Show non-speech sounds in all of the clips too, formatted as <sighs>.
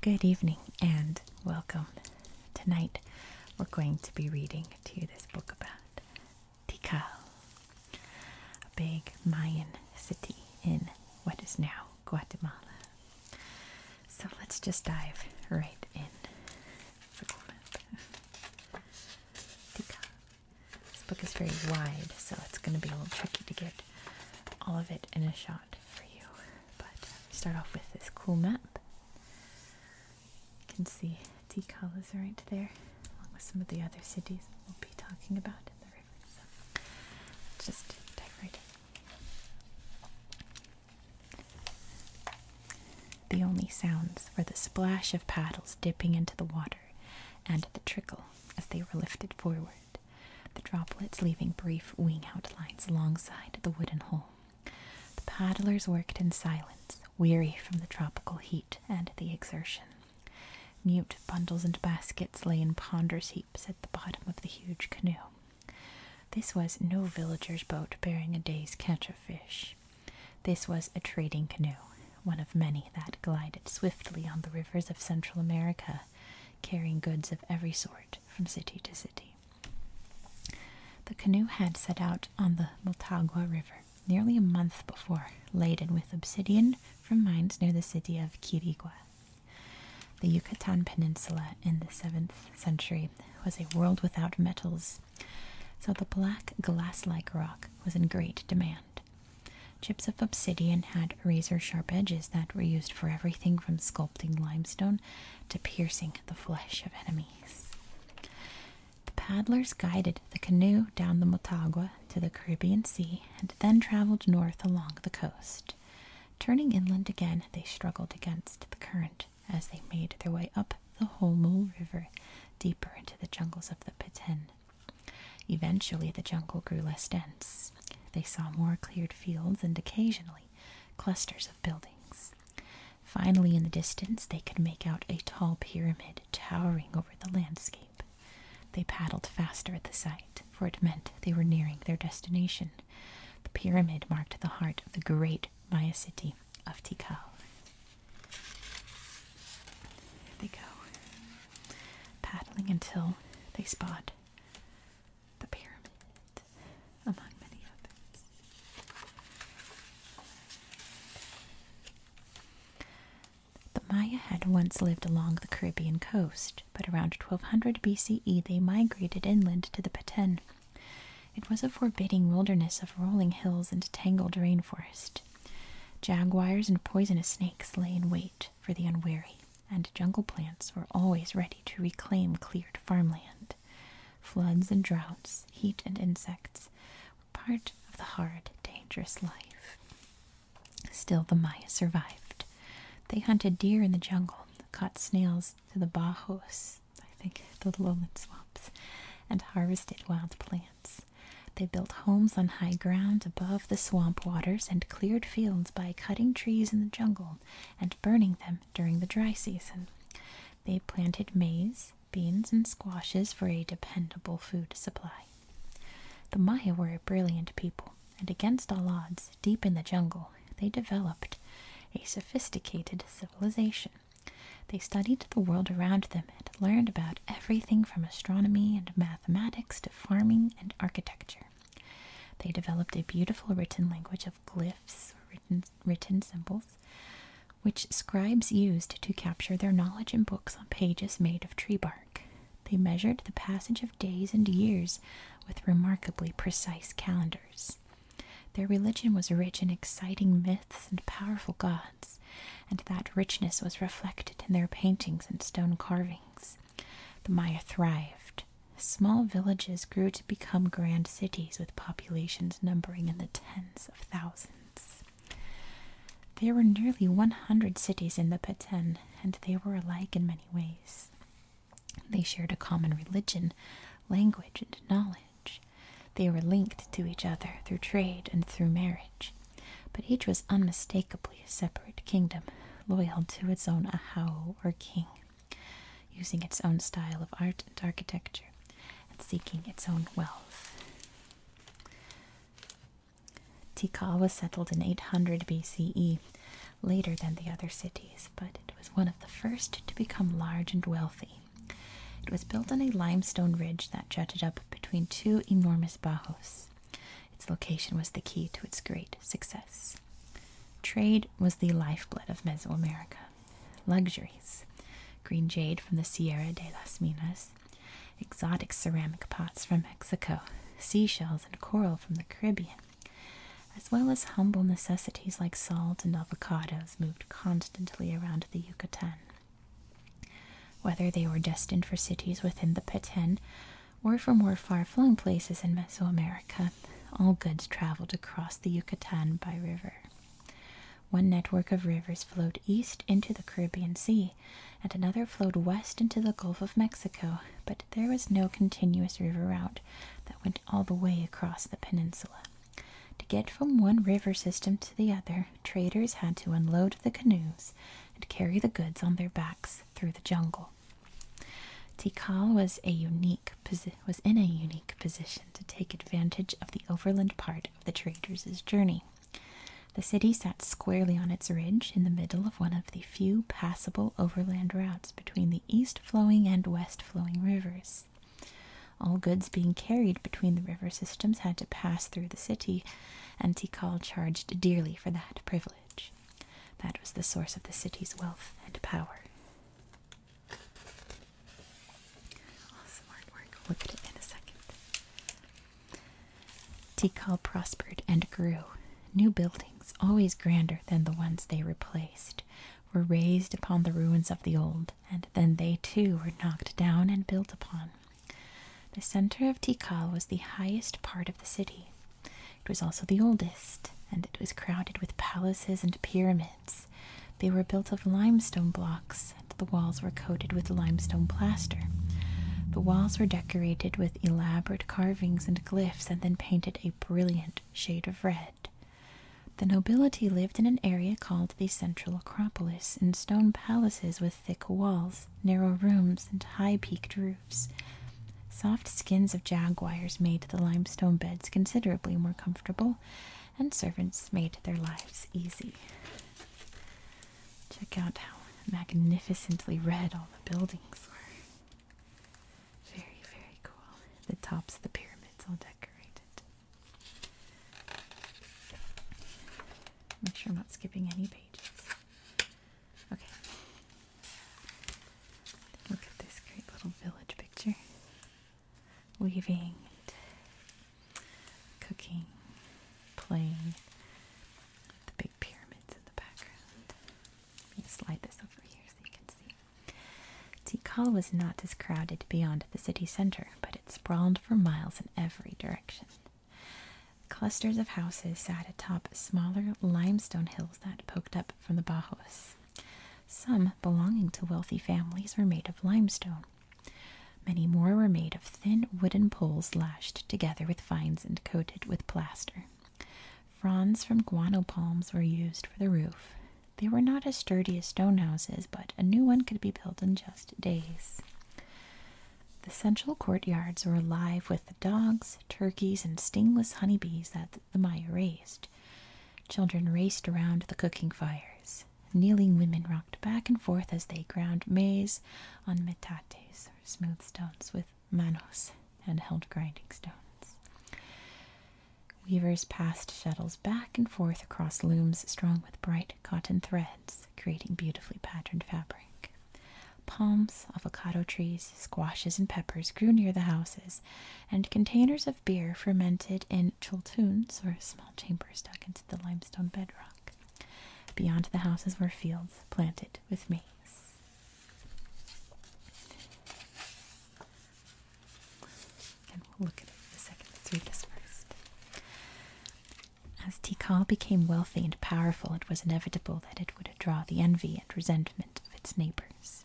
Good evening and welcome. Tonight we're going to be reading to you this book about Tikal, a big Mayan city in what is now Guatemala. So let's just dive right in. This book is very wide, so it's going to be a little tricky to get all of it in a shot for you. But uh, start off with this cool map. You can see Tikal is right there, along with some of the other cities we'll be talking about in the river. So just dive right in. The only sounds were the splash of paddles dipping into the water and the trickle as they were lifted forward, the droplets leaving brief wing outlines alongside the wooden hull. The paddlers worked in silence, weary from the tropical heat and the exertion. Mute bundles and baskets lay in ponderous heaps at the bottom of the huge canoe. This was no villager's boat bearing a day's catch of fish. This was a trading canoe, one of many that glided swiftly on the rivers of Central America, carrying goods of every sort from city to city. The canoe had set out on the Motagua River nearly a month before, laden with obsidian from mines near the city of Quirigua. The Yucatan Peninsula in the 7th century was a world without metals, so the black glass like rock was in great demand. Chips of obsidian had razor sharp edges that were used for everything from sculpting limestone to piercing the flesh of enemies. The paddlers guided the canoe down the Motagua to the Caribbean Sea and then traveled north along the coast. Turning inland again, they struggled against the current as they made their way up the Holmo River deeper into the jungles of the Peten. Eventually, the jungle grew less dense. They saw more cleared fields and occasionally clusters of buildings. Finally, in the distance, they could make out a tall pyramid towering over the landscape. They paddled faster at the sight, for it meant they were nearing their destination. The pyramid marked the heart of the great Maya city, of Tikal. They go paddling until they spot the pyramid, among many others. The Maya had once lived along the Caribbean coast, but around 1200 BCE they migrated inland to the Paten it was a forbidding wilderness of rolling hills and tangled rainforest. Jaguars and poisonous snakes lay in wait for the unwary, and jungle plants were always ready to reclaim cleared farmland. Floods and droughts, heat and insects were part of the hard, dangerous life. Still, the Maya survived. They hunted deer in the jungle, caught snails to the bajos, I think the lowland swamps, and harvested wild plants. They built homes on high ground above the swamp waters and cleared fields by cutting trees in the jungle and burning them during the dry season. They planted maize, beans, and squashes for a dependable food supply. The Maya were a brilliant people, and against all odds, deep in the jungle, they developed a sophisticated civilization. They studied the world around them and learned about everything from astronomy and mathematics to farming and architecture. They developed a beautiful written language of glyphs, written, written symbols, which scribes used to capture their knowledge in books on pages made of tree bark. They measured the passage of days and years with remarkably precise calendars. Their religion was rich in exciting myths and powerful gods and that richness was reflected in their paintings and stone carvings. The Maya thrived. Small villages grew to become grand cities with populations numbering in the tens of thousands. There were nearly 100 cities in the Peten, and they were alike in many ways. They shared a common religion, language, and knowledge. They were linked to each other through trade and through marriage, but each was unmistakably a separate kingdom, loyal to its own ahau or king, using its own style of art and architecture, and seeking its own wealth. Tikal was settled in 800 BCE, later than the other cities, but it was one of the first to become large and wealthy. It was built on a limestone ridge that jutted up between two enormous bajos. Its location was the key to its great success. Trade was the lifeblood of Mesoamerica. Luxuries green jade from the Sierra de las Minas, exotic ceramic pots from Mexico, seashells and coral from the Caribbean, as well as humble necessities like salt and avocados moved constantly around the Yucatan. Whether they were destined for cities within the Peten or for more far flung places in Mesoamerica, all goods traveled across the Yucatan by river. One network of rivers flowed east into the Caribbean Sea, and another flowed west into the Gulf of Mexico, but there was no continuous river route that went all the way across the peninsula. To get from one river system to the other, traders had to unload the canoes and carry the goods on their backs through the jungle. Tikal was in a unique position to take advantage of the overland part of the traders' journey. The city sat squarely on its ridge in the middle of one of the few passable overland routes between the east flowing and west flowing rivers. All goods being carried between the river systems had to pass through the city, and Tikal charged dearly for that privilege. That was the source of the city's wealth and power. Awesome artwork. we at in a second. Tikal prospered and grew. New buildings, always grander than the ones they replaced, were raised upon the ruins of the old and then they too were knocked down and built upon. The center of Tikal was the highest part of the city. It was also the oldest, and it was crowded with palaces and pyramids. They were built of limestone blocks, and the walls were coated with limestone plaster. The walls were decorated with elaborate carvings and glyphs and then painted a brilliant shade of red. The nobility lived in an area called the Central Acropolis, and stone palaces with thick walls, narrow rooms, and high peaked roofs. Soft skins of jaguars made the limestone beds considerably more comfortable, and servants made their lives easy. Check out how magnificently red all the buildings were. Very, very cool. The tops of the pyramids all decorated. Make sure I'm not skipping any pages. Okay. Look at this great little village picture. Weaving, cooking, playing. The big pyramids in the background. Let me slide this over here so you can see. Tikal was not as crowded beyond the city center, but it sprawled for miles in every direction. Clusters of houses sat atop smaller limestone hills that poked up from the Bajos. Some belonging to wealthy families were made of limestone. Many more were made of thin wooden poles lashed together with vines and coated with plaster. Fronds from guano palms were used for the roof. They were not as sturdy as stone houses, but a new one could be built in just days. The central courtyards were alive with the dogs, turkeys, and stingless honeybees that the Maya raised. Children raced around the cooking fires. Kneeling women rocked back and forth as they ground maize on metates, or smooth stones, with manos and held grinding stones. Weavers passed shuttles back and forth across looms strung with bright cotton threads, creating beautifully patterned fabric. Palms, avocado trees, squashes, and peppers grew near the houses, and containers of beer fermented in chultuns, or small chambers dug into the limestone bedrock. Beyond the houses were fields planted with maize. As Tikal became wealthy and powerful, it was inevitable that it would draw the envy and resentment of its neighbors.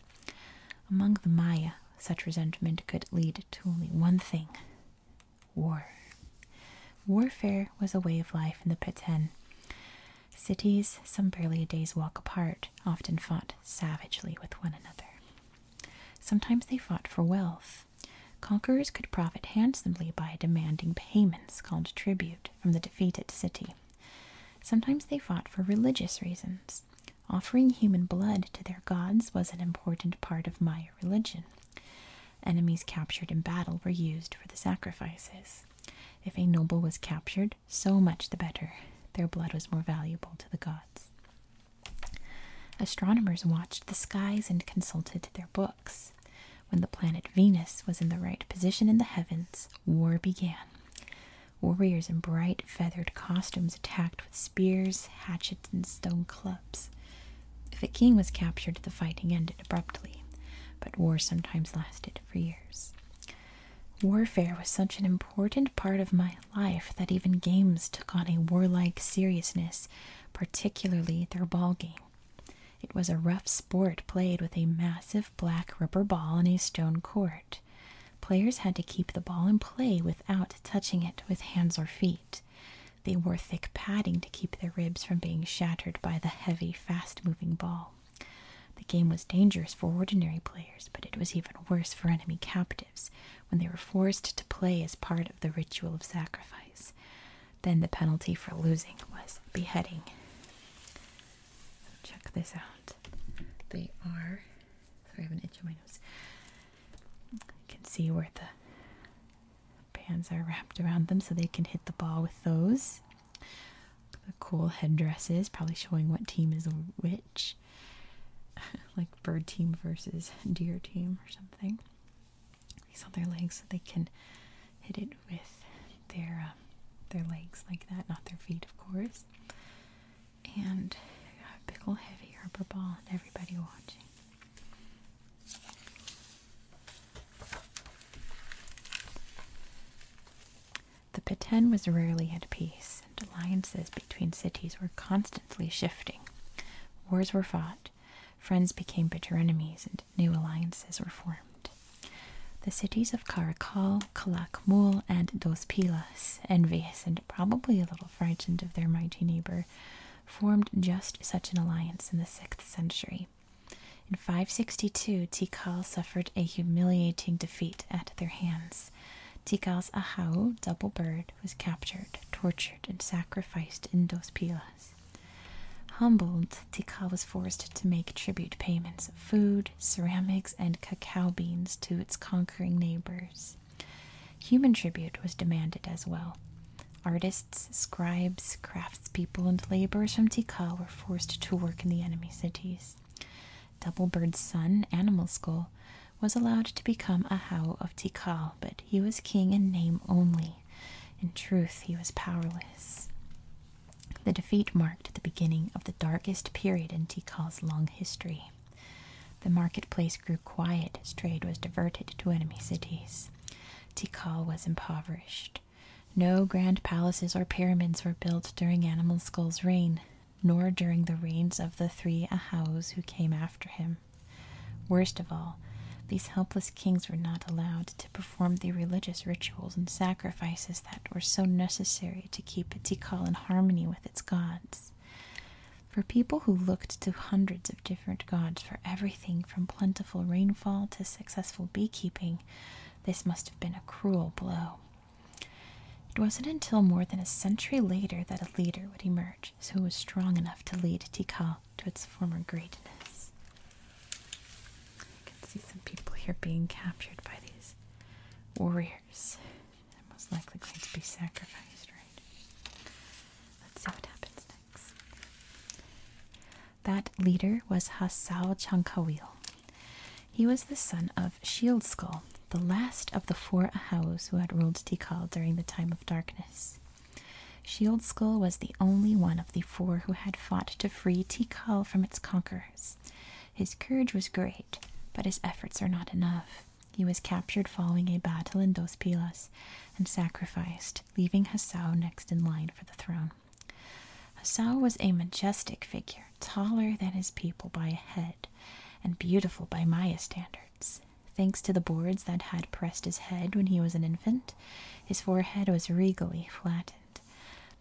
Among the Maya, such resentment could lead to only one thing war. Warfare was a way of life in the Peten. Cities, some barely a day's walk apart, often fought savagely with one another. Sometimes they fought for wealth, Conquerors could profit handsomely by demanding payments called tribute from the defeated city. Sometimes they fought for religious reasons. Offering human blood to their gods was an important part of Maya religion. Enemies captured in battle were used for the sacrifices. If a noble was captured, so much the better. Their blood was more valuable to the gods. Astronomers watched the skies and consulted their books. When the planet Venus was in the right position in the heavens, war began. Warriors in bright feathered costumes attacked with spears, hatchets, and stone clubs. If a king was captured, the fighting ended abruptly, but war sometimes lasted for years. Warfare was such an important part of my life that even games took on a warlike seriousness particularly their ball game. It was a rough sport played with a massive black rubber ball on a stone court. Players had to keep the ball in play without touching it with hands or feet. They wore thick padding to keep their ribs from being shattered by the heavy, fast moving ball. The game was dangerous for ordinary players, but it was even worse for enemy captives when they were forced to play as part of the ritual of sacrifice. Then the penalty for losing was beheading. Check this out. They are. Sorry, I have an itch in my nose. You can see where the bands are wrapped around them so they can hit the ball with those. The cool headdresses, probably showing what team is a witch, <laughs> like bird team versus deer team or something these other legs so they can hit it with their um, their legs like that, not their feet, of course. And a big ol' heavy rubber ball, and everybody watching. The Peten was rarely at peace, and alliances between cities were constantly shifting. Wars were fought, Friends became bitter enemies and new alliances were formed. The cities of Caracal, Calakmul, and Dos Pilas, envious and probably a little frightened of their mighty neighbor, formed just such an alliance in the 6th century. In 562, Tikal suffered a humiliating defeat at their hands. Tikal's Ahau, double bird, was captured, tortured, and sacrificed in Dos Pilas. Humbled, Tikal was forced to make tribute payments of food, ceramics, and cacao beans to its conquering neighbors. Human tribute was demanded as well. Artists, scribes, craftspeople, and laborers from Tikal were forced to work in the enemy cities. Doublebird's son, Animal Skull, was allowed to become a Hao of Tikal, but he was king in name only. In truth, he was powerless. The defeat marked the beginning of the darkest period in Tikal's long history. The marketplace grew quiet trade was diverted to enemy cities. Tikal was impoverished. No grand palaces or pyramids were built during Animal Skull's reign, nor during the reigns of the three Ahaus who came after him. Worst of all, these helpless kings were not allowed to perform the religious rituals and sacrifices that were so necessary to keep Tikal in harmony with its gods. For people who looked to hundreds of different gods for everything from plentiful rainfall to successful beekeeping, this must have been a cruel blow. It wasn't until more than a century later that a leader would emerge Arches who was strong enough to lead Tikal to its former greatness. I can see some people here being captured by these warriors. They're most likely going to be sacrificed, right? Let's see what happens next. That leader was Hassao Chankawil. He was the son of Shield Skull, the last of the four Ahaus who had ruled Tikal during the time of darkness. Shield Skull was the only one of the four who had fought to free Tikal from its conquerors. His courage was great, but his efforts were not enough. He was captured following a battle in Dos Pilas and sacrificed, leaving Hassau next in line for the throne. Hassau was a majestic figure, taller than his people by a head, and beautiful by Maya standards. Thanks to the boards that had pressed his head when he was an infant, his forehead was regally flattened.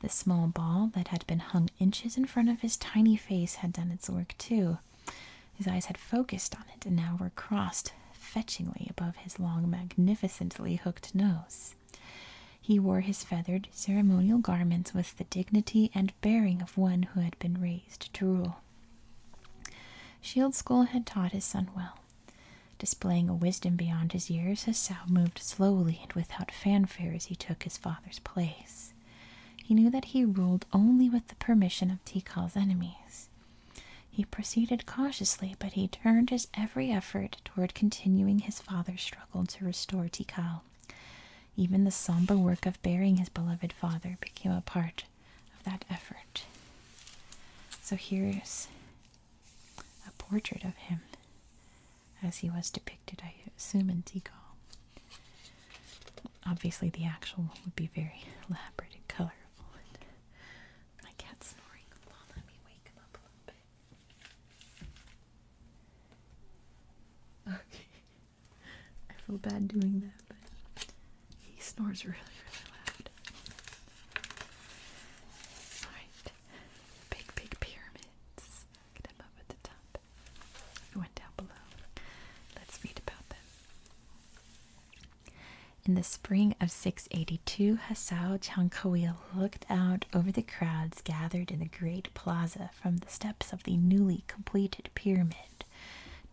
The small ball that had been hung inches in front of his tiny face had done its work too. His eyes had focused on it and now were crossed fetchingly above his long, magnificently hooked nose. He wore his feathered ceremonial garments with the dignity and bearing of one who had been raised to rule. Shield School had taught his son well. Displaying a wisdom beyond his years, Hassau moved slowly and without fanfare as he took his father's place. He knew that he ruled only with the permission of Tikal's enemies. He proceeded cautiously, but he turned his every effort toward continuing his father's struggle to restore Tikal. Even the somber work of burying his beloved father became a part of that effort. So here's a portrait of him as he was depicted, I assume, in Degas. Obviously, the actual one would be very elaborate and colorful. And my cat's snoring. let me wake him up a little bit. Okay. <laughs> I feel bad doing that, but he snores really, really loud. Alright. Big, big pyramids. Look them up at the top. went down below. Let's read about them. In the spring of 682, Hassao Chankawil looked out over the crowds gathered in the great plaza from the steps of the newly completed pyramid.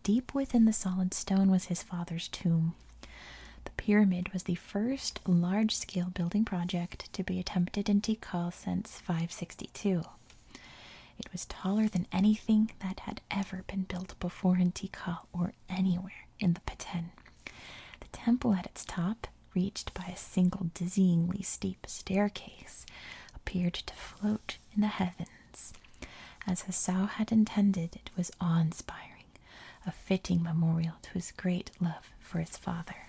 Deep within the solid stone was his father's tomb, the pyramid was the first large scale building project to be attempted in Tikal since 562. It was taller than anything that had ever been built before in Tikal or anywhere in the Peten. The temple at its top, reached by a single dizzyingly steep staircase, appeared to float in the heavens. As Hassau had intended, it was awe inspiring a fitting memorial to his great love for his father.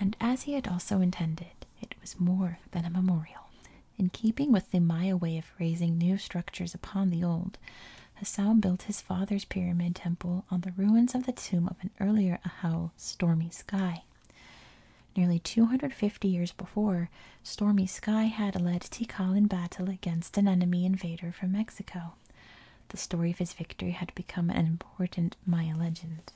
And as he had also intended, it was more than a memorial. In keeping with the Maya way of raising new structures upon the old, Hassan built his father's pyramid temple on the ruins of the tomb of an earlier Ahau, Stormy Sky. Nearly 250 years before, Stormy Sky had led Tikal in battle against an enemy invader from Mexico. The story of his victory had become an important Maya legend.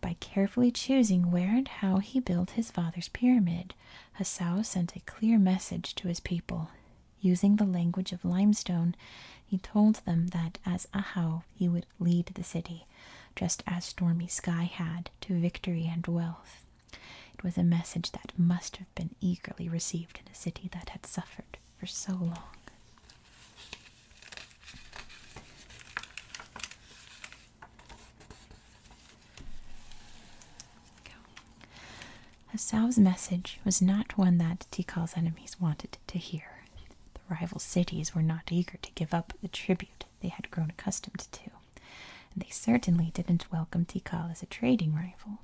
By carefully choosing where and how he built his father's pyramid, Hassau sent a clear message to his people. Using the language of limestone, he told them that as Ahau he would lead the city, just as Stormy Sky had, to victory and wealth. It was a message that must have been eagerly received in a city that had suffered for so long. Hassau's message was not one that Tikal's enemies wanted to hear. The rival cities were not eager to give up the tribute they had grown accustomed to, and they certainly didn't welcome Tikal as a trading rival.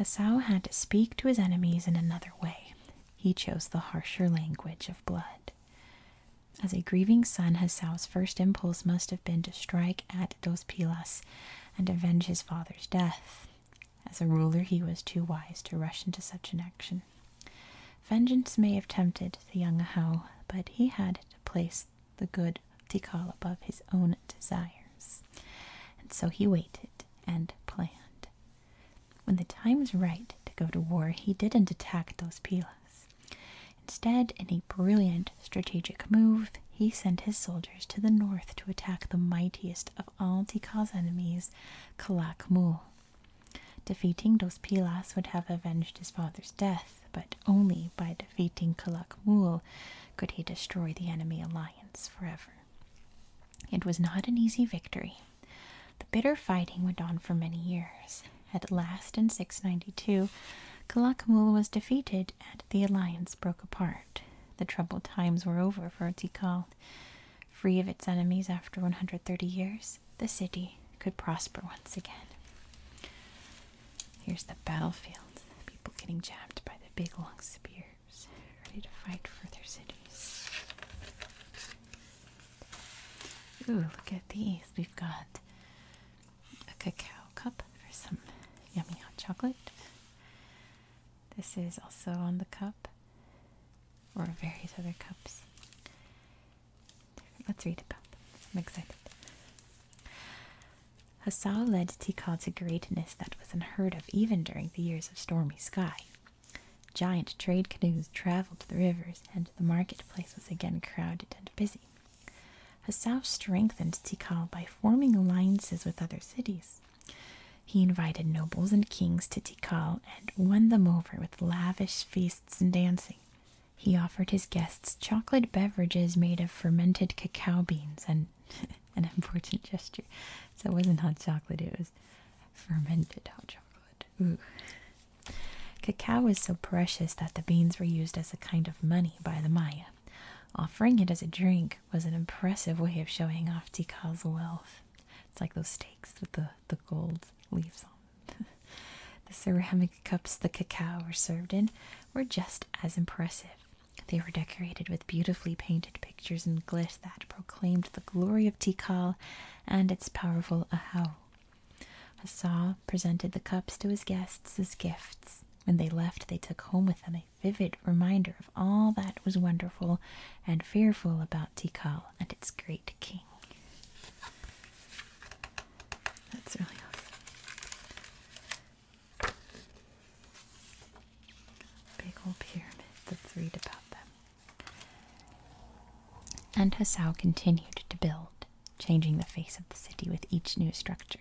Esau had to speak to his enemies in another way. He chose the harsher language of blood. As a grieving son, Esau's first impulse must have been to strike at Dos Pilas and avenge his father's death. As a ruler, he was too wise to rush into such an action. Vengeance may have tempted the young Ahau, but he had to place the good Tikal above his own desires. And so he waited and planned. When the time was right to go to war, he didn't attack those Pilas. Instead, in a brilliant strategic move, he sent his soldiers to the north to attack the mightiest of all Tikal's enemies, Kalakmul. Defeating Dos Pilas would have avenged his father's death, but only by Fighting Kalakmul, could he destroy the enemy alliance forever. It was not an easy victory. The bitter fighting went on for many years. At last, in 692, Kalakmul was defeated and the alliance broke apart. The troubled times were over for Tikal. Free of its enemies after 130 years, the city could prosper once again. Here's the battlefield. People getting jabbed by the big long spears, ready to fight for their cities. Ooh, look at these. We've got a cacao cup for some yummy hot chocolate. This is also on the cup, or various other cups. Let's read about them. I'm excited. Hassau led Tikal to greatness that was unheard of even during the years of stormy sky. Giant trade canoes traveled the rivers, and the market place was again crowded and busy. Hassau strengthened Tikal by forming alliances with other cities. He invited nobles and kings to Tikal and won them over with lavish feasts and dancing. He offered his guests chocolate beverages made of fermented cacao beans and <laughs> an important gesture. So it wasn't hot chocolate, it was fermented hot chocolate. Ooh. Cacao was so precious that the beans were used as a kind of money by the Maya. Offering it as a drink was an impressive way of showing off Tikal's wealth. It's like those steaks with the, the gold leaves on <laughs> the ceramic cups the cacao were served in were just as impressive. They were decorated with beautifully painted pictures and gliss that proclaimed the glory of Tikal and its powerful Ahau. Hassa presented the cups to his guests as gifts. When they left, they took home with them a vivid reminder of all that was wonderful and fearful about Tikal and its great king. That's really awesome. Big old pyramid. Let's read about them. And Hassau continued to build, changing the face of the city with each new structure.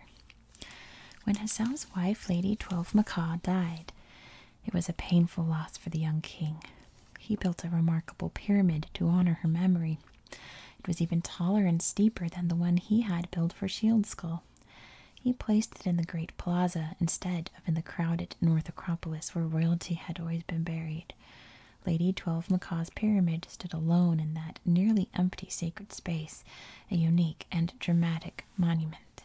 When Hassau's wife, Lady Twelve Macaw, died, it was a painful loss for the young king. He built a remarkable pyramid to honor her memory. It was even taller and steeper than the one he had built for Shield Skull. He placed it in the great plaza instead of in the crowded North Acropolis where royalty had always been buried. Lady Twelve Macaw's pyramid stood alone in that nearly empty sacred space, a unique and dramatic monument.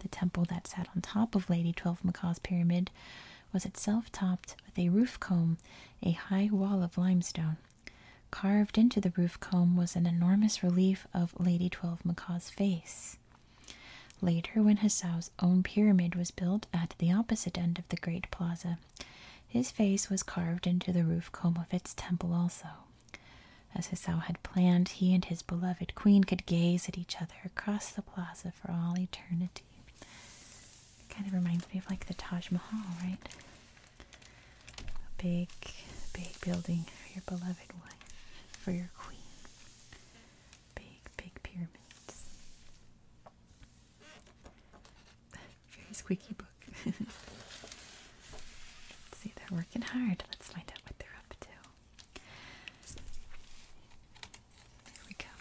The temple that sat on top of Lady Twelve Macaw's pyramid was itself topped with a roof comb, a high wall of limestone. Carved into the roof comb was an enormous relief of Lady Twelve Macaw's face. Later, when Hassau's own pyramid was built at the opposite end of the great plaza, his face was carved into the roof comb of its temple also. As Hassau had planned, he and his beloved queen could gaze at each other across the plaza for all eternity. Kind of reminds me of like the Taj Mahal, right? a big, big building for your beloved one, for your queen. Big, big pyramids. <laughs> Very squeaky book. <laughs> see, they're working hard. Let's find out what they're up to. Here we go.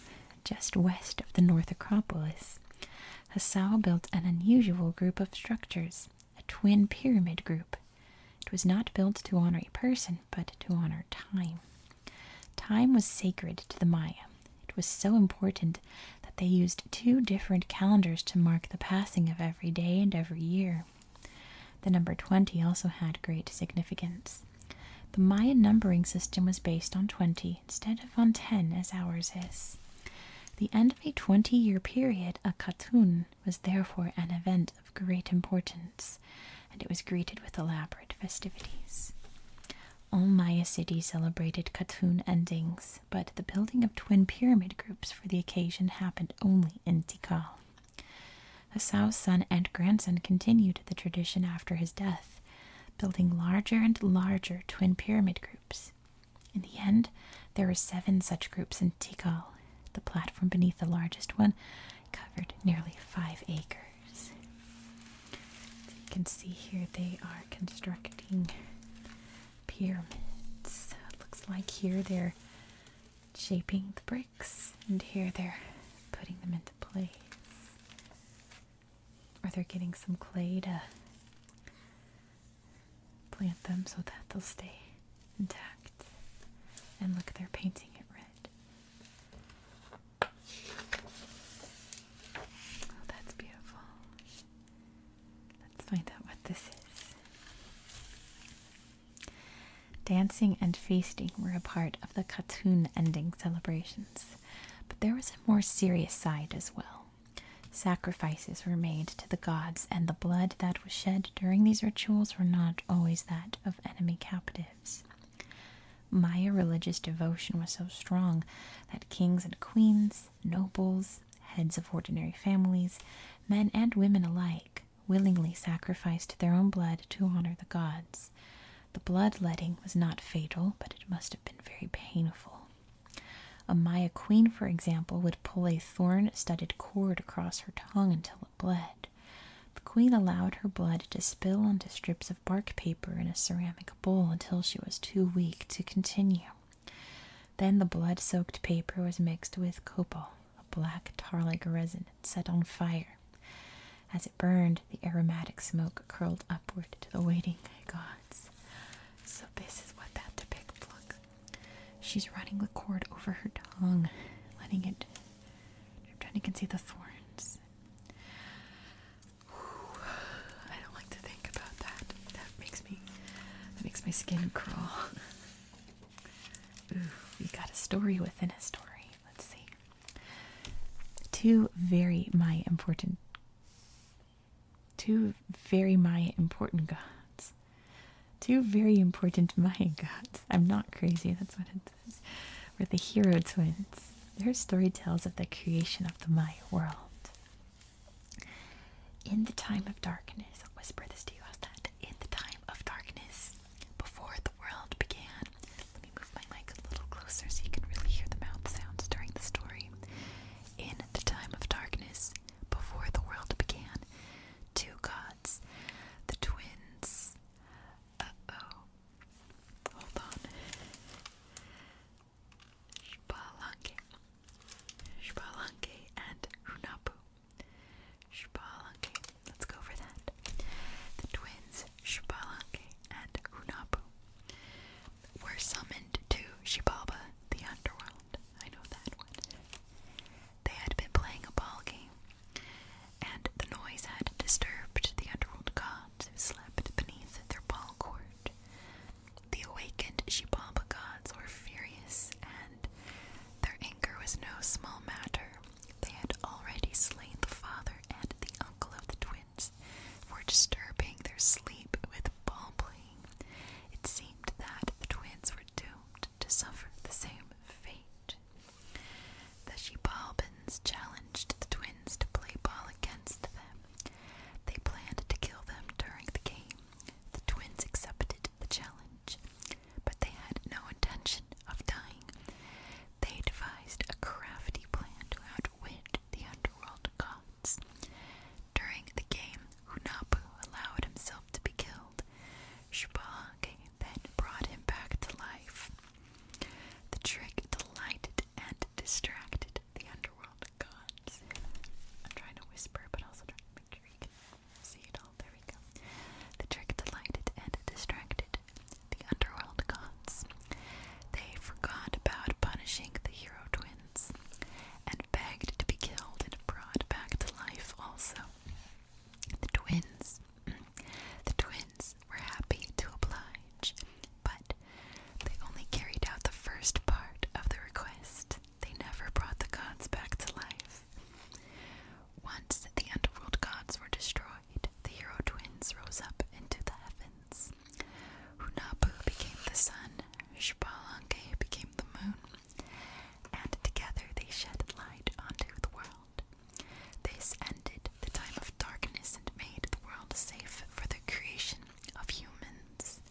Just west of the North Acropolis, Hassao built an unusual group of structures a twin pyramid group. It was not built to honor a person, but to honor time. Time was sacred to the Maya. It was so important that they used two different calendars to mark the passing of every day and every year. The number 20 also had great significance. The Maya numbering system was based on 20 instead of on 10 as ours is. The end of a 20 year period, a katun, was therefore an event of great importance, and it was greeted with elaborate festivities. All Maya cities celebrated Katun endings, but the building of twin pyramid groups for the occasion happened only in Tikal. Hassan's son and grandson continued the tradition after his death, building larger and larger twin pyramid groups. In the end, there were seven such groups in Tikal, the platform beneath the largest one covered nearly five acres. you can see here they are constructing pyramids. It looks like here they're shaping the bricks, and here they're putting them into place. Or they're getting some clay to plant them so that they'll stay intact. And look, they're painting it red. Oh, that's beautiful. Let's find out what this is. Dancing and feasting were a part of the Katun ending celebrations, but there was a more serious side as well. Sacrifices were made the gods, and the blood that was shed during these rituals were not always that of enemy captives. Maya religious devotion was so strong that kings and queens, nobles, heads of ordinary families, men and women alike, willingly sacrificed their own blood to honor the gods. The blood letting was not fatal, but it must have been very painful. A Maya queen, for example, would pull a thorn studded cord across her tongue until spill blood. The queen allowed her blood to spill onto strips of bark paper in a ceramic bowl until she was too weak to continue. Then the blood soaked paper was mixed with copal, a black tar like resin set on fire. As it burned, the aromatic smoke curled upward to the waiting gods. So, this is what that depicts. looks She's running the cord over her tongue, letting it. I'm trying to see the thorns. I don't like to think about that. That makes me. That makes my skin crawl. Ooh, we got a story within a story. Let's see. Two very my important. Two very my important gods. Two very important <laughs> Maya gods. I'm not crazy, that's what it says. Were the hero twins. Their story tells of the creation of the Maya world. In the time of darkness, I'll whisper this to you. I'll stand. In the time of darkness, before the world began. Let me move my mic a little closer so you can really hear the mouth sounds during the story. In the time of darkness, before the world began, two gods, the twins. Uh oh. Hold on. Shbalanke. Shbalanke and Hunapu. Shbalanke. Let's go for that. The twins Shbalanke and Hunapu were summoned to Shibaba, the underworld. I know that one. They had been playing a ball game, and the noise had disturbed the underworld gods who slept beneath their ball court. The awakened Shibaba gods were furious, and their anger was no small matter. They had already slain the father and the uncle of the twins for disturbing their sleep with ball playing. It seemed that the twins were doomed to suffer the same fate. The Shebabans challenged the twins to play ball against them. They planned to kill them during the game. The twins accepted the challenge, but they had no intention of dying. They devised a crafty plan to outwit the underworld gods. During the game, Hunapu allowed himself to be killed child. Shbang then brought him back to life. The trick delighted and distracted the underworld gods. I'm trying to whisper, but also trying to make sure you can see it all. There we go. The trick delighted and distracted the underworld gods. They forgot about punishing the hero twins and begged to be killed and brought back to life also. The twins, the twins were happy to oblige, but they only carried out the first part of the request. They never brought the gods back to life. Once the underworld gods were destroyed, the hero twins rose up into the heavens. Hunapu became the sun, Shpalange became the moon, and together they shed light onto the world. This ended the time of darkness and made the world safe for the creation of humans.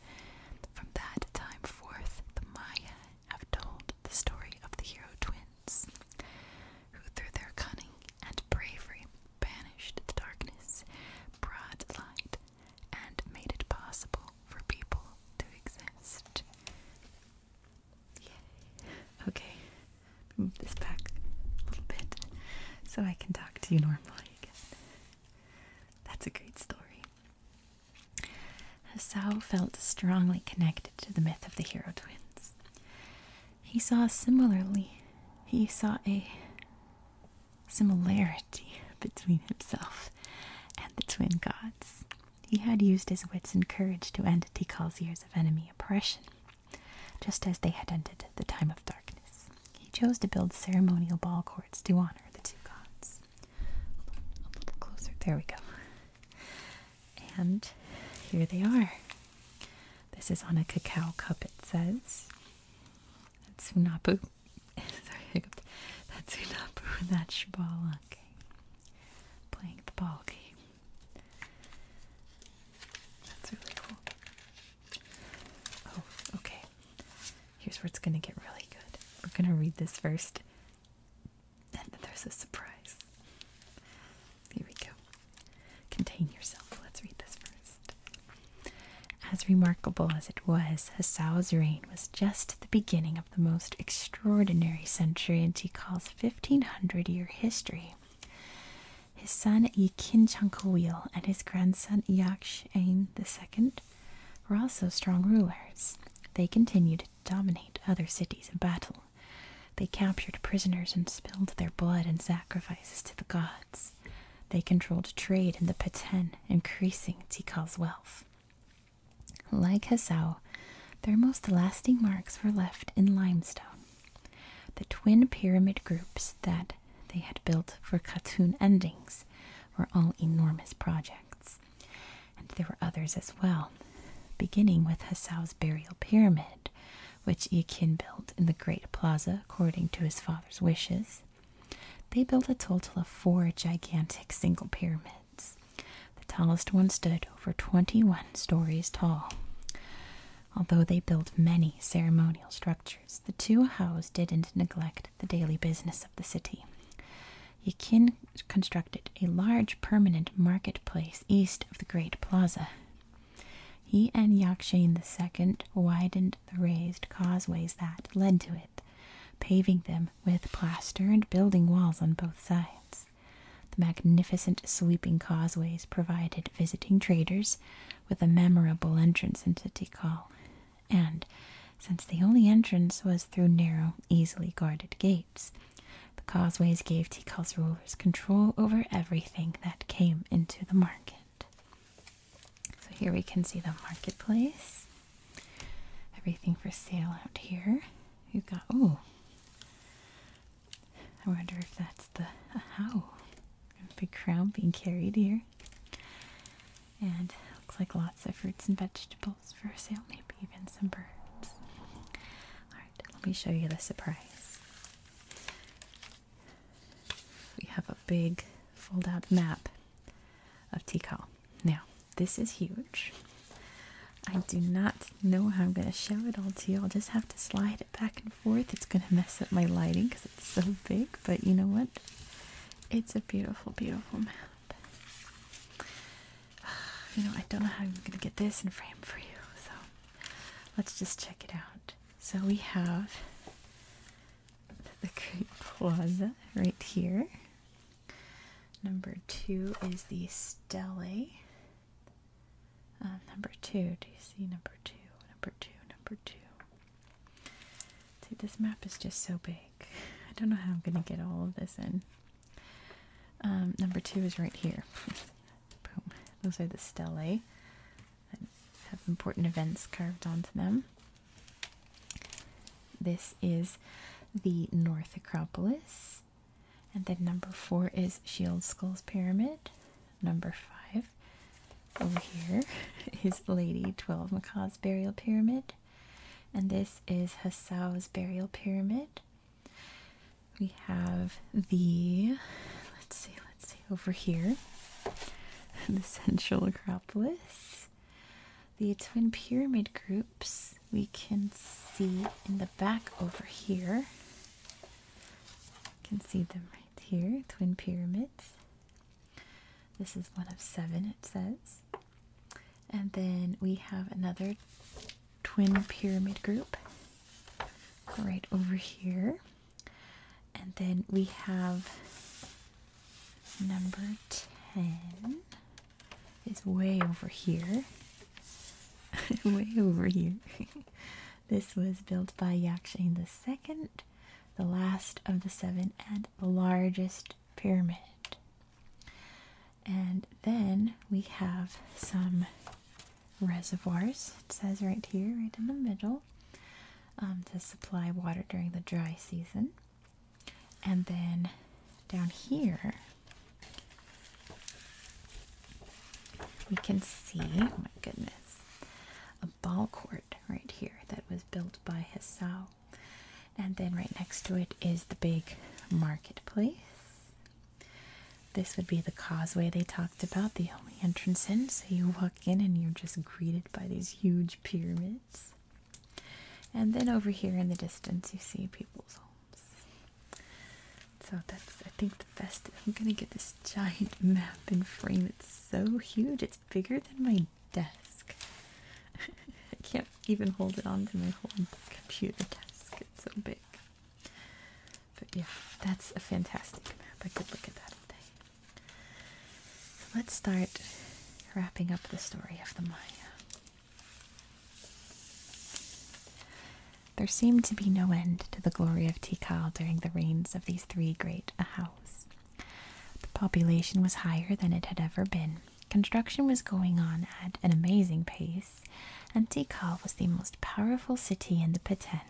From that time forth, the Maya have told the story of the hero twins, who through their cunning and bravery banished the darkness, brought light, and made it possible for people to exist. Okay, move this back a little bit so I can talk to you normally again. That's a great story. Sao felt strongly connected to the myth of the hero twins. He saw similarly, he saw a similarity between himself and the twin gods. He had used his wits and courage to end Tikal's years of enemy oppression, just as they had ended the time of darkness. He chose to build ceremonial ball courts to honor the two gods. A little closer, there we go. And here they are. This is on a cacao cup, it says. That's Sunapu. <laughs> Sorry, I hiccuped. That's Sunapu and that's Shibala. Okay playing the ball game. That's really cool. Oh, okay. Here's where it's going to get really good. We're going to read this first, and then there's a surprise. Here we go. Contain yourself. Let's read this first. As remarkable as it was, Hassau's reign was just the beginning of the most extraordinary century in Tikal 1500 year history. His son Yikin Chankoil and his grandson Yakshain II were also strong rulers. They continued to dominate other cities in battle. They captured prisoners and spilled their blood in sacrifices to the gods. They controlled trade in the Peten, increasing Tikal's wealth. Like Hassau, their most lasting marks were left in limestone. The twin pyramid groups that they had built for Katun endings were all enormous projects, and there were others as well, beginning with Hassau's burial pyramid, which Yakin built in the Great Plaza according to his father's wishes. They built a total of four gigantic single pyramids. The tallest one stood over 21 stories tall. Although they built many ceremonial structures, the two houses didn't neglect the daily business of the city. Yakin constructed a large permanent marketplace east of the Great Plaza. He and Yakshin the second widened the raised causeways that led to it, paving them with plaster and building walls on both sides. The magnificent sweeping causeways provided visiting traders with a memorable entrance into Tikal, and since the only entrance was through narrow, easily guarded gates, the causeways gave Tikal's rulers control over everything that came into the market. So here we can see the marketplace. Everything for sale out here. You got oh. I wonder if that's the uh, how. Big crown being carried here. And looks like lots of fruits and vegetables for sale, maybe even some birds. Alright, let me show you the surprise. We have a big fold out map of Tikal. Now, this is huge. I do not know how I'm going to show it all to you. I'll just have to slide it back and forth. It's going to mess up my lighting because it's so big, but you know what? It's a beautiful, beautiful map. <sighs> You know, I don't know how I'm going to get this in frame for you, so let's just check it out. So we have the Great Plaza right here. Number two is the stele. Um, number two, do you see number two? Number two, number two. See, this map is just so big. <laughs> I don't know how I'm going to get all of this in. Um, number two is right here. <laughs> Boom. Those are the stelae that have important events carved onto them. This is the North Acropolis. And then number four is shield skulls pyramid. Number five over here <laughs> is Lady 12 Macaw's burial pyramid. And this is Hassau's burial pyramid. We have the, let's see, let's see, over here, <laughs> the Central Acropolis, the Twin Pyramid groups, we can see in the back over here. You can see them right here, twin pyramids. This is one of seven, it says. And then we have another twin pyramid group right over here. And then we have number 10 is way over here. <laughs> way over here. <laughs> this was built by Yakshin second, the last of the seven and largest pyramid. And then we have some reservoirs. It says right here, right in the middle, um, to supply water during the dry season. And then down here, we can see, oh my goodness, a ball court right here that was built by Hassau. And then right next to it is the big marketplace. This would be the causeway they talked about, the only entrance in. So you walk in and you're just greeted by these huge pyramids. And then over here in the distance, you see people's homes. So that's, I think, the best. I'm gonna get this giant <laughs> map and frame. It's so huge. It's bigger than my desk. <laughs> I can't even hold it onto my whole computer desk. It's so big. But yeah, that's a fantastic map. I could look at that all day. So let's start wrapping up the story of the Maya. There seemed to be no end to the glory of Tikal during the reigns of these three great Ahaus. The population was higher than it had ever been. Construction was going on at an amazing pace, and Tikal was the most powerful city in the Peten.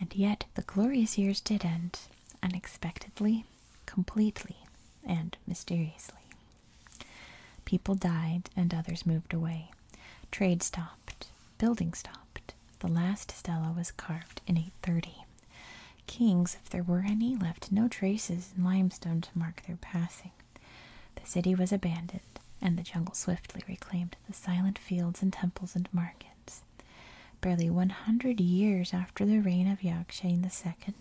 And yet the glorious years did end, unexpectedly, completely, and mysteriously. People died and others moved away. Trade stopped. Building stopped. The last stela was carved in 830. Kings, if there were any, left no traces in limestone to mark their passing. The city was abandoned, and the jungle swiftly reclaimed the silent fields and temples and markets. Barely 100 years after the reign of Yakshain II,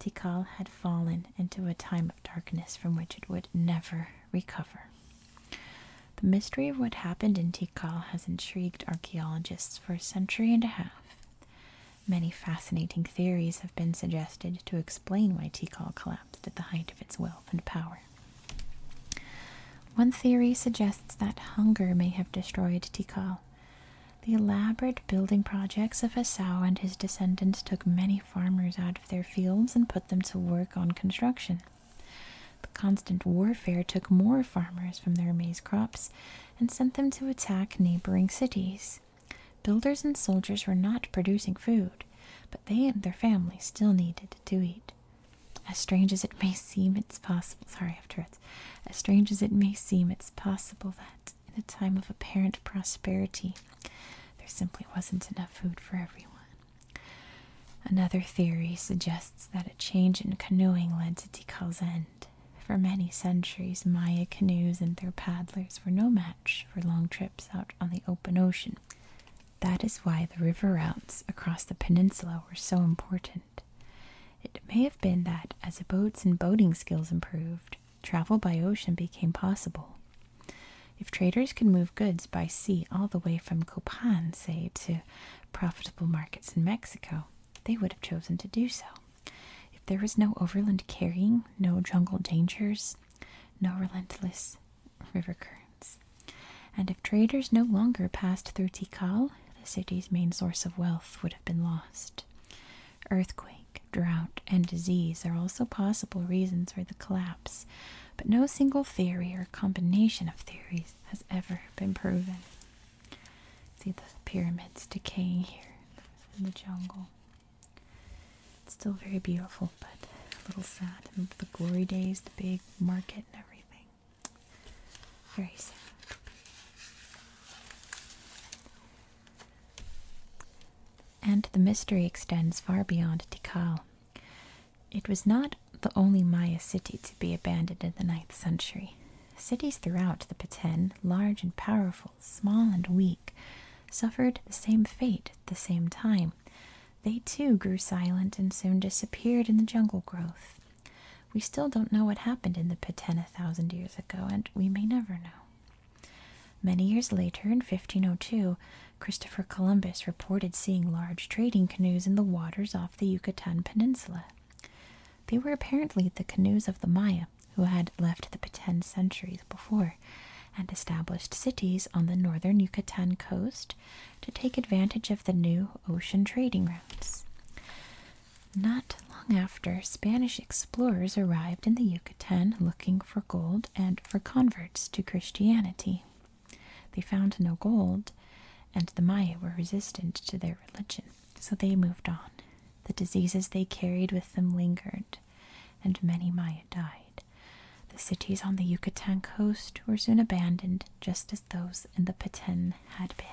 Tikal had fallen into a time of darkness from which it would never recover. The mystery of what happened in Tikal has intrigued archaeologists for a century and a half. Many fascinating theories have been suggested to explain why Tikal collapsed at the height of its wealth and power. One theory suggests that hunger may have destroyed Tikal. The elaborate building projects of Esau and his descendants took many farmers out of their fields and put them to work on construction. The constant warfare took more farmers from their maize crops and sent them to attack neighboring cities. Builders and soldiers were not producing food, but they and their families still needed to eat. As strange as it may seem, it's possible. Sorry, I have turrets. As strange as it may seem, it's possible that in a time of apparent prosperity, there simply wasn't enough food for everyone. Another theory suggests that a change in canoeing led to Tikal's end. For many centuries, Maya canoes and their paddlers were no match for long trips out on the open ocean. That is why the river routes across the peninsula were so important. It may have been that as boats and boating skills improved, travel by ocean became possible. If traders could move goods by sea all the way from Copan, say, to profitable markets in Mexico, they would have chosen to do so. If there was no overland carrying, no jungle dangers, no relentless river currents, and if traders no longer passed through Tikal, the city's main source of wealth would have been lost. Earthquake, drought, and disease are also possible reasons for the collapse but no single theory or combination of theories has ever been proven. See the pyramids decaying here in the jungle. It's still very beautiful, but a little sad. the glory days, the big market, and everything. Very sad. And the mystery extends far beyond Tikal. It was not the only Maya city to be abandoned in the ninth century. Cities throughout the Peten, large and powerful, small and weak, suffered the same fate at the same time. They too grew silent and soon disappeared in the jungle growth. We still don't know what happened in the Peten a thousand years ago, and we may never know. Many years later, in 1502, Christopher Columbus reported seeing large trading canoes in the waters off the Yucatan Peninsula. They were apparently the canoes of the Maya, who had left the ten centuries before and established cities on the northern Yucatan coast to take advantage of the new ocean trading routes. Not long after, Spanish explorers arrived in the Yucatan looking for gold and for converts to Christianity. They found no gold, and the Maya were resistant to their religion, so they moved on. The diseases they carried with them lingered, and many Maya died. The cities on the Yucatan coast were soon abandoned, just as those in the Petén had been.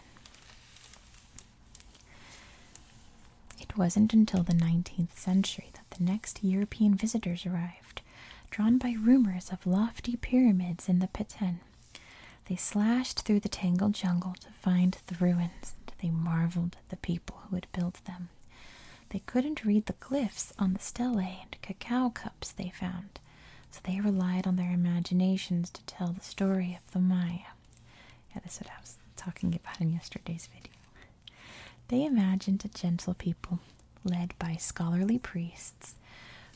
It wasn't until the 19th century that the next European visitors arrived drawn by rumors of lofty pyramids in the Peten. They slashed through the tangled jungle to find the ruins, and they marveled at the people who had built them. They couldn't read the glyphs on the stelae and cacao cups they found, so they relied on their imaginations to tell the story of the Maya. Yeah, that's what I was talking about in yesterday's video. They imagined a gentle people led by scholarly priests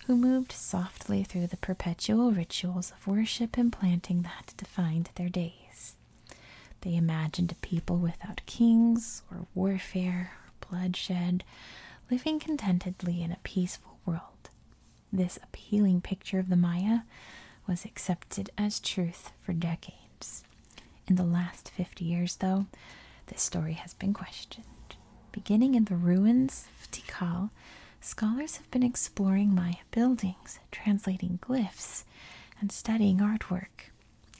who moved softly through the perpetual rituals of worship and planting that defined their days. They imagined a people without kings or warfare or bloodshed, living contentedly in a peaceful world. This appealing picture of the Maya was accepted as truth for decades. In the last 50 years, though, this story has been questioned. Beginning in the ruins of Tikal, scholars have been exploring Maya buildings, translating glyphs, and studying artwork.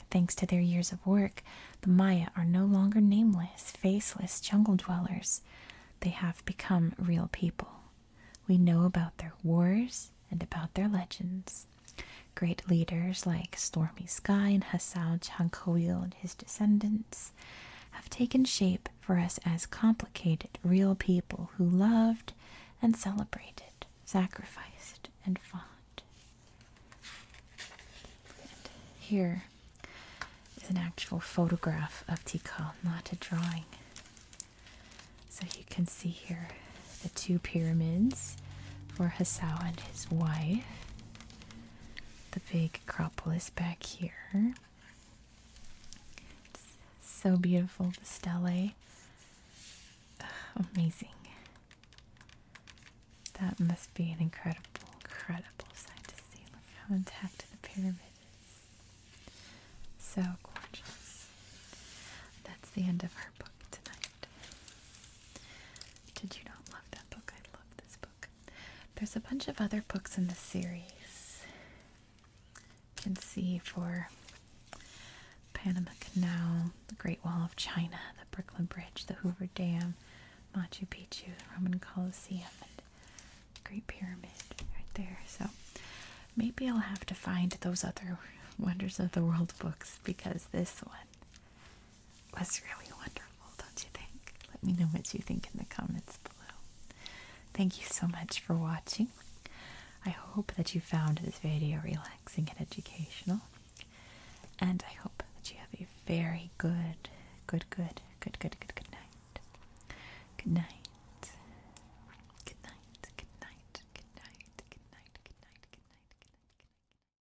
Thanks to their years of work, the Maya are no longer nameless, faceless jungle dwellers. They have become real people. We know about their wars and about their legends. Great leaders like Stormy Sky and Hassao Chankoil and his descendants have taken shape for us as complicated, real people who loved and celebrated, sacrificed, and fought. And here is an actual photograph of Tikal, not a drawing. So you can see here the two pyramids for Hassao and his wife the big Acropolis back here. It's so beautiful, the stele. amazing. That must be an incredible, incredible sight to see. Look how intact the pyramid is. So gorgeous. That's the end of our book tonight. Did you not love that book? I love this book. There's a bunch of other books in the series. You can see for Panama Canal, the Great Wall of China, the Brooklyn Bridge, the Hoover Dam, Machu Picchu, Roman Colosseum, Great Pyramid right there. So maybe I'll have to find those other <laughs> Wonders of the World books because this one was really wonderful, don't you think? Let me know what you think in the comments below. Thank you so much for watching. I hope that you found this video relaxing and educational. And I hope that you have a very good, good, good, good, good, good, good night. Good night. Good night. Good night. Good night. Good night. Good night. Good night. Good night. Good night.